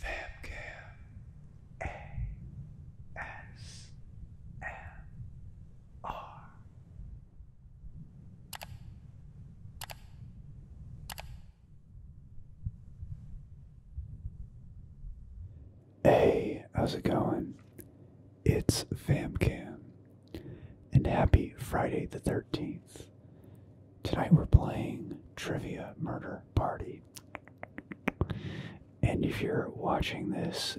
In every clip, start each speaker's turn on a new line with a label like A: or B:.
A: Famcam Hey, how's it going? It's Famcam, and happy Friday the 13th. Tonight we're playing Trivia Murder Party. And if you're watching this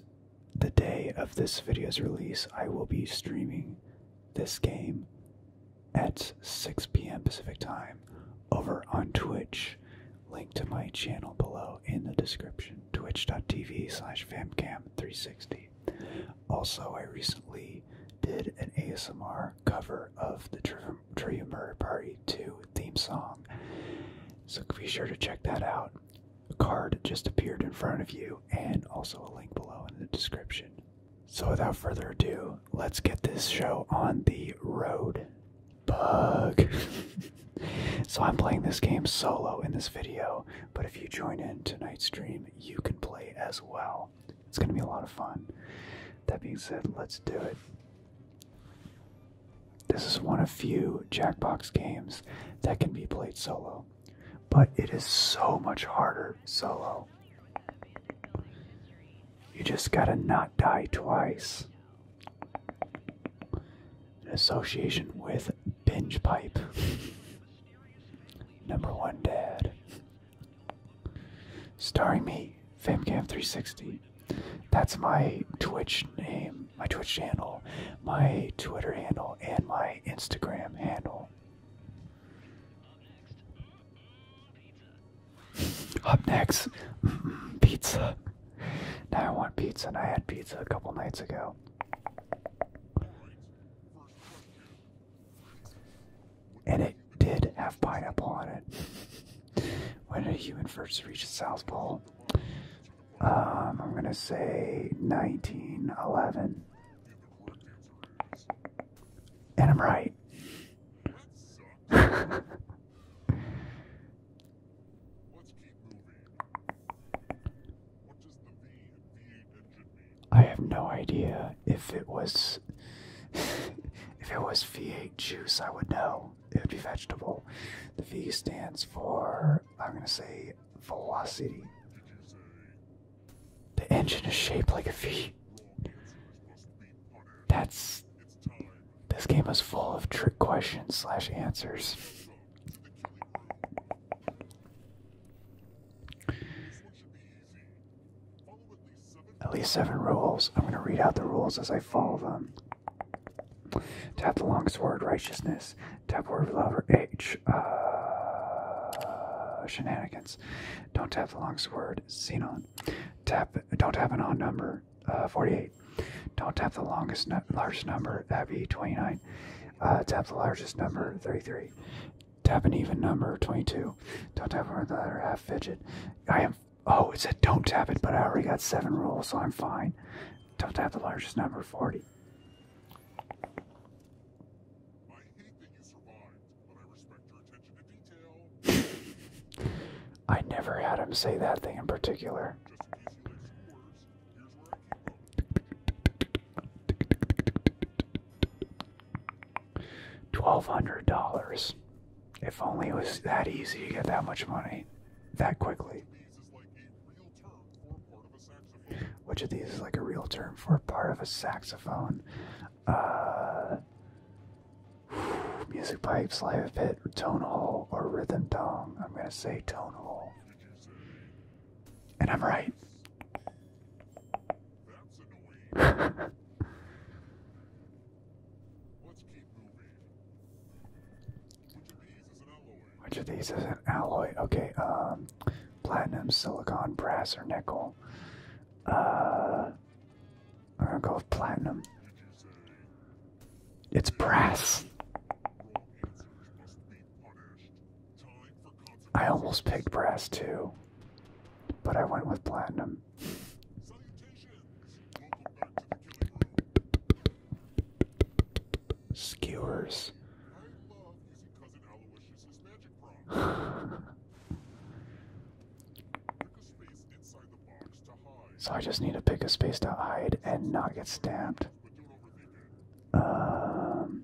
A: the day of this video's release, I will be streaming this game at 6 p.m. Pacific time over on Twitch. Link to my channel below in the description twitch.tv slash famcam360. Also, I recently did an ASMR cover of the Driven True Murder Party 2 theme song. So be sure to check that out. A card just appeared in front of you, and also a link below in the description. So without further ado, let's get this show on the road. Bug. so I'm playing this game solo in this video, but if you join in tonight's stream, you can play as well it's going to be a lot of fun. That being said, let's do it. This is one of few Jackbox games that can be played solo, but it is so much harder solo. You just gotta not die twice. An association with Binge Pipe. Number one dad. Starring me, FamCam360. That's my Twitch name, my Twitch channel, my Twitter handle, and my Instagram handle. Up next, pizza. Now I want pizza, and I had pizza a couple nights ago. And it did have pineapple on it. when did a human first reach the South Pole? Um, I'm gonna say 1911. And I'm right. I have no idea if it was if it was V8 juice, I would know. It would be vegetable. The V stands for I'm gonna say velocity. The engine is shaped like a V. That's this game is full of trick questions slash answers. At least seven rules. I'm going to read out the rules as I follow them. Tap the long sword, righteousness. Tap word lover, H. Uh, shenanigans. Don't tap the long sword, xenon. Tap. Don't tap an odd number, uh, 48. Don't tap the longest, largest number, that'd be 29. Uh, tap the largest number, 33. Tap an even number, 22. Don't tap over the other half fidget. I am. Oh, it said don't tap it, but I already got seven rules, so I'm fine. Don't tap the largest number, 40. I never had him say that thing in particular. $1,200. If only it was that easy to get that much money that quickly. Which of these is like a real term for part of a saxophone? Uh, music pipes, live pit, tone hole, or rhythm dong. I'm gonna say tone hole. And I'm right. Which of these is an alloy? Which of these is an alloy? Okay, um, platinum, silicon, brass, or nickel. Uh, I'm gonna go with platinum. It's brass. I almost picked brass too, but I went with platinum. Skewers. so I just need to pick a space to hide and not get stamped. Um,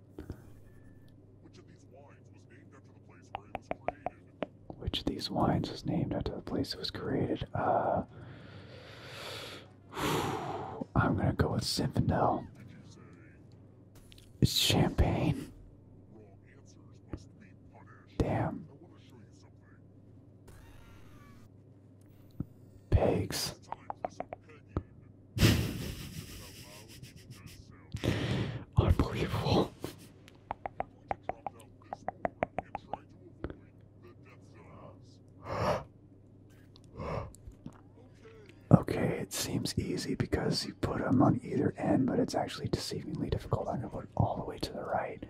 A: Which of these wines was named after the place it was created? Which of these wines was named after the place it was created? Uh, I'm gonna go with Zinfandel. It's champagne. Damn. Pigs. Unbelievable. Okay, it seems easy because you put them on either end, but it's actually deceivingly difficult. I'm gonna put it all the way to the right,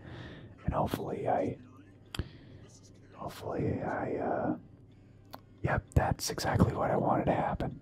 A: and hopefully I, hopefully I, uh, yep, that's exactly what I wanted to happen.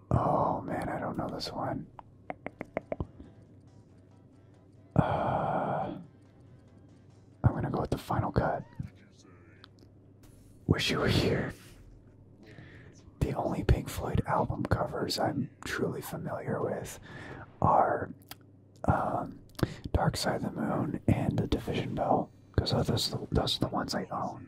A: Oh man, I don't know this one. Uh, I'm gonna go with the final cut. Wish You Were Here. The only Pink Floyd album covers I'm truly familiar with are um, Dark Side of the Moon and The Division Bell, because those, those are the ones I own.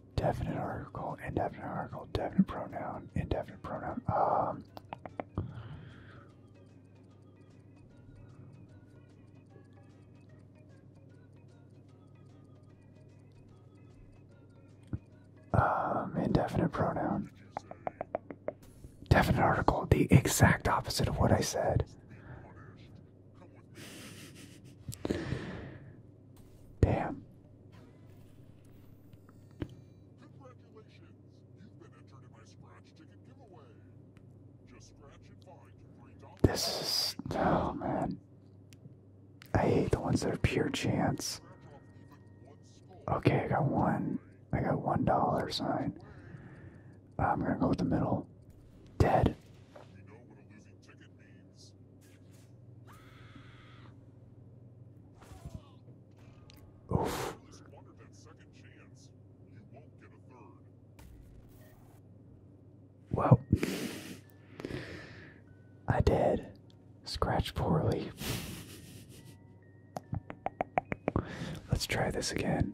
A: Definite article, indefinite article, definite pronoun, indefinite pronoun. Um, um. indefinite pronoun. Definite article, the exact opposite of what I said. Damn. Congratulations! You've been entered in my scratch ticket giveaway. Just scratch and This is oh man. I hate the ones that are pure chance. Okay, I got one. I got one dollar sign. I'm gonna go with the middle. Dead. Oof. Well, I did scratch poorly. Let's try this again.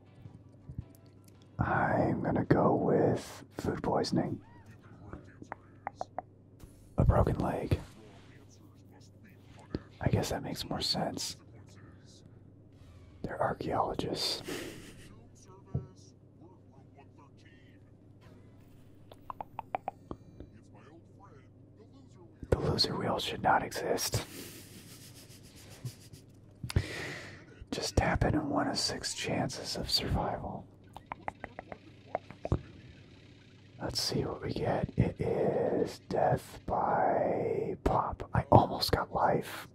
A: I'm gonna go with food poisoning. A broken leg. I guess that makes more sense. They're archaeologists. The loser wheel should not exist. Just tap it in one of six chances of survival. Let's see what we get. It is death by pop. I almost got life.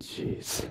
A: Jeez.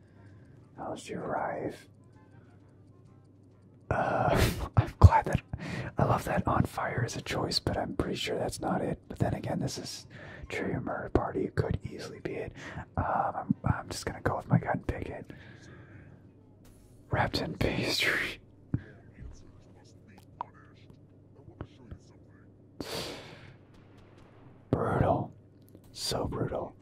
A: How did you arrive? Uh, I'm glad that I love that on fire is a choice, but I'm pretty sure that's not it. But then again, this is true murder party. It could easily be it. Um, I'm, I'm just gonna go with my gut and pick it. Wrapped in pastry. Brutal. So brutal.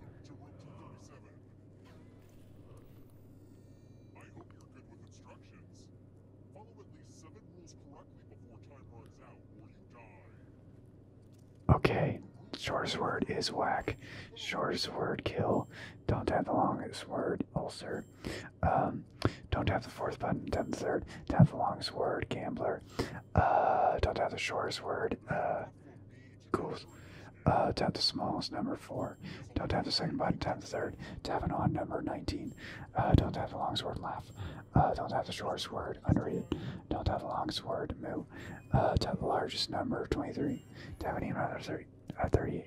A: Okay, shortest word is whack. Shortest word kill. Don't tap the longest word ulcer. Um, don't tap the fourth button. do Tap the third. Tap the longest word gambler. Uh, don't tap the shortest word. Uh, Goals. Uh, tap the smallest number, 4. Don't tap the second button, tap the third. Tap an odd number, 19. Uh, don't tap the longest word, laugh. Uh, don't tap the shortest word, unread it. Don't tap the longest word, moo. Uh, tap the largest number, 23. Tap an even other 30, uh, 38.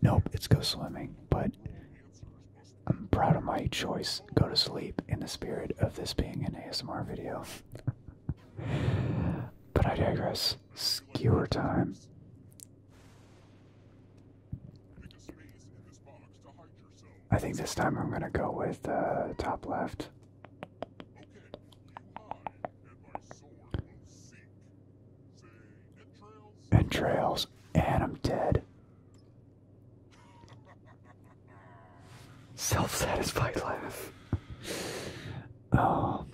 A: Nope, it's go swimming, but I'm proud of my choice. Go to sleep in the spirit of this being an ASMR video. but I digress. Skewer time. I think this time I'm gonna go with uh, top left. Entrails, and I'm dead. Self satisfied laugh. Oh.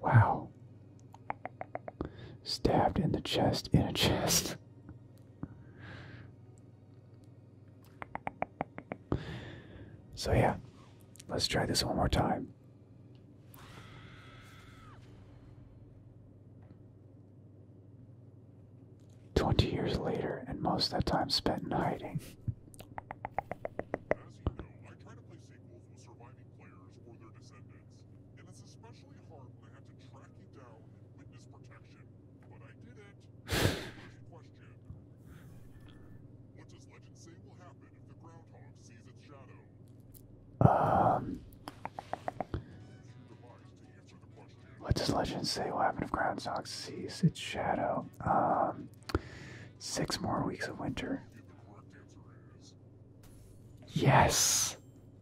A: Wow. Stabbed in the chest, in a chest. So, yeah, let's try this one more time. Twenty years later, and most of that time spent in hiding. and it's especially hard when I have to track you down in witness protection What does legend say will happen if the groundhog sees its shadow? Um What does legend say will happen if groundhog sees its shadow? Um six more weeks of winter. Yes.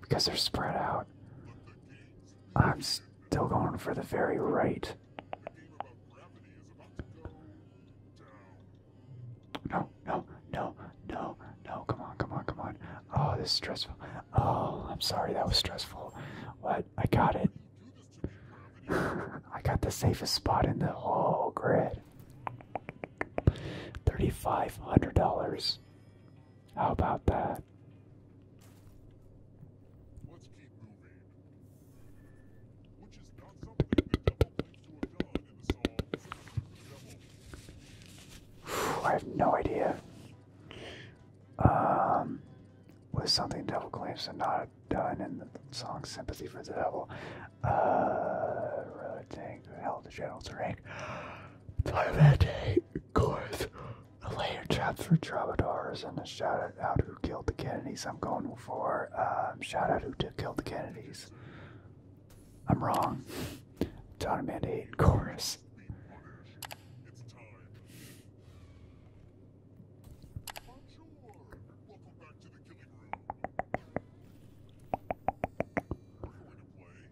A: because they're spread out. I'm still going for the very right. No, no, no, no, no. Come on, come on, come on. Oh, this is stressful. Oh, I'm sorry, that was stressful. What? I got it. I got the safest spot in the whole grid. $3,500. How about that? I have no idea. Um, was something devil claims to not done in the song "Sympathy for the Devil." Uh, road held the general to rank. Parvati Gores, a layer traps for troubadours, and a shout out to who killed the Kennedys. I'm going for um, shout out who killed the Kennedys. I'm wrong. John Amanda Hayden Chorus.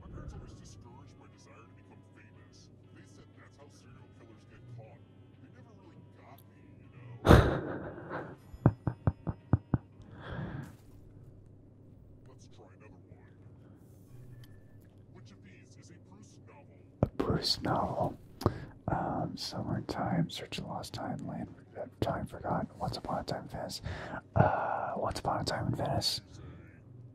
A: My parents always discouraged my desire to become famous. They said that's how serial killers get caught. They never really got me, you know? Let's try another one. Which of these is a Bruce novel? A Um, Summer in Time, Search of Lost Time, Land uh, Time Forgotten, Once Upon a Time in Venice. Uh, Once Upon a Time in Venice.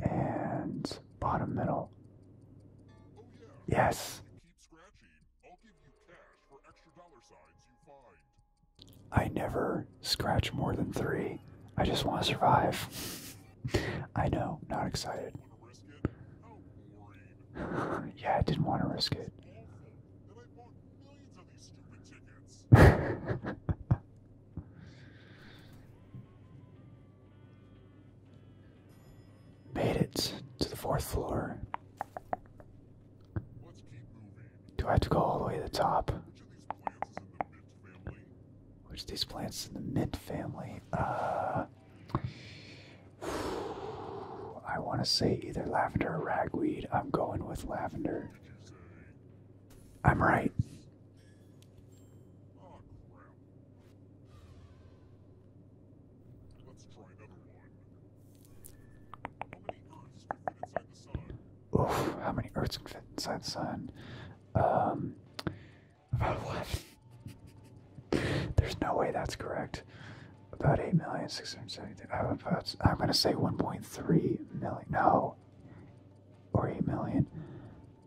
A: and bottom middle. Oh, yeah. Yes. I never scratch more than three. I just want to survive. I know, not excited. yeah, I didn't want to risk it. Made it to the fourth floor. Do I have to go all the way to the top? Which these plants in the mint family? Uh, I want to say either lavender or ragweed. I'm going with lavender. I'm right. Oof, how many Earths can fit inside the sun? Um, about what? There's no way that's correct. About 8 million, I'm, about, I'm going to say 1.3 million. No. Or 8 million.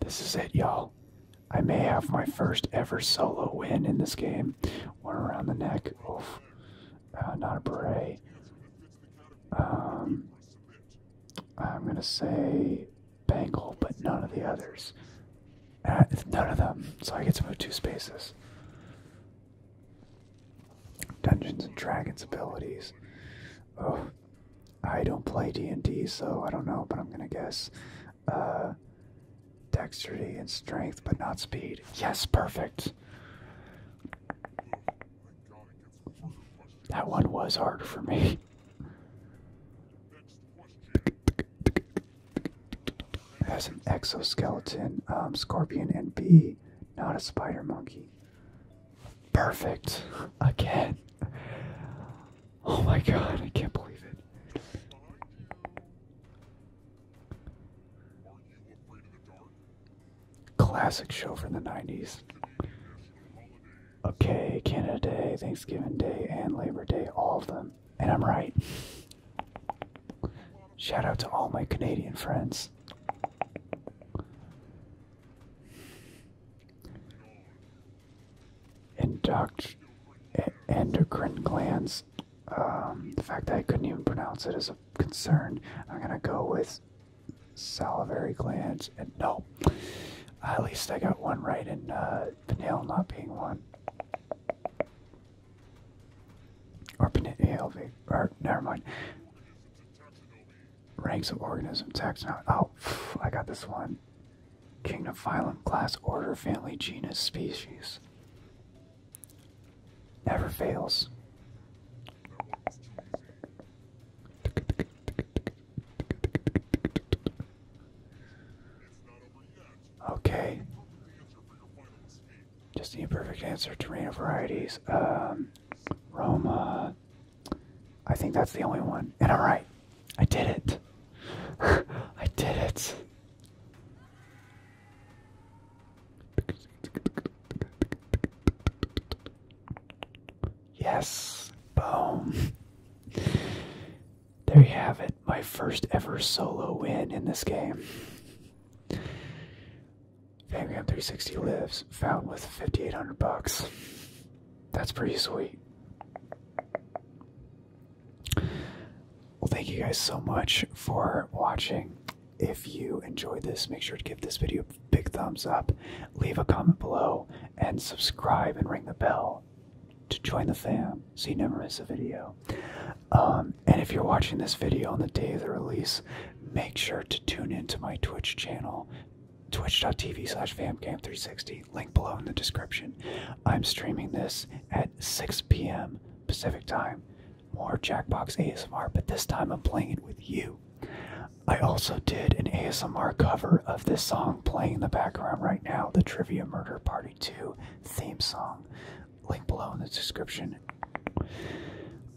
A: This is it, y'all. I may have my first ever solo win in this game. One around the neck. Oof. Uh, not a beret. Um, I'm going to say bangle, but none of the others. Uh, none of them. So I get to move two spaces. Dungeons and Dragons abilities. Oh, I don't play D&D, so I don't know, but I'm going to guess uh, dexterity and strength, but not speed. Yes, perfect. That one was hard for me. As an exoskeleton, um, scorpion, and bee, not a spider monkey. Perfect. Again. Oh my god, I can't believe it. Classic show from the 90s. Okay, Canada Day, Thanksgiving Day, and Labor Day, all of them. And I'm right. Shout out to all my Canadian friends. Induct, endocrine glands. Um, the fact that I couldn't even pronounce it is a concern. I'm gonna go with salivary glands. And no, at least I got one right, and uh, pineal not being one. Or pineal, never mind. Ranks of organisms. taxonomy. Oh, I got this one. Kingdom, phylum, class, order, family, genus, species. Never fails. Okay. Just the imperfect answer. to of varieties. Um, Roma, I think that's the only one. And alright, I did it. I did it. Yes, boom. There you have it, my first ever solo win in this game. Fangram 360 lives, found with 5800 bucks. That's pretty sweet. Well, thank you guys so much for watching. If you enjoyed this, make sure to give this video a big thumbs up, leave a comment below, and subscribe and ring the bell to join the fam so you never miss a video. Um, and if you're watching this video on the day of the release, make sure to tune into my Twitch channel twitch.tv slash famcam360, link below in the description. I'm streaming this at 6 p.m. Pacific time. More Jackbox ASMR, but this time I'm playing it with you. I also did an ASMR cover of this song playing in the background right now, the Trivia Murder Party 2 theme song. Link below in the description.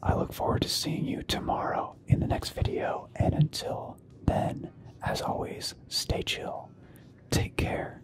A: I look forward to seeing you tomorrow in the next video, and until then, as always, stay chill. Take care.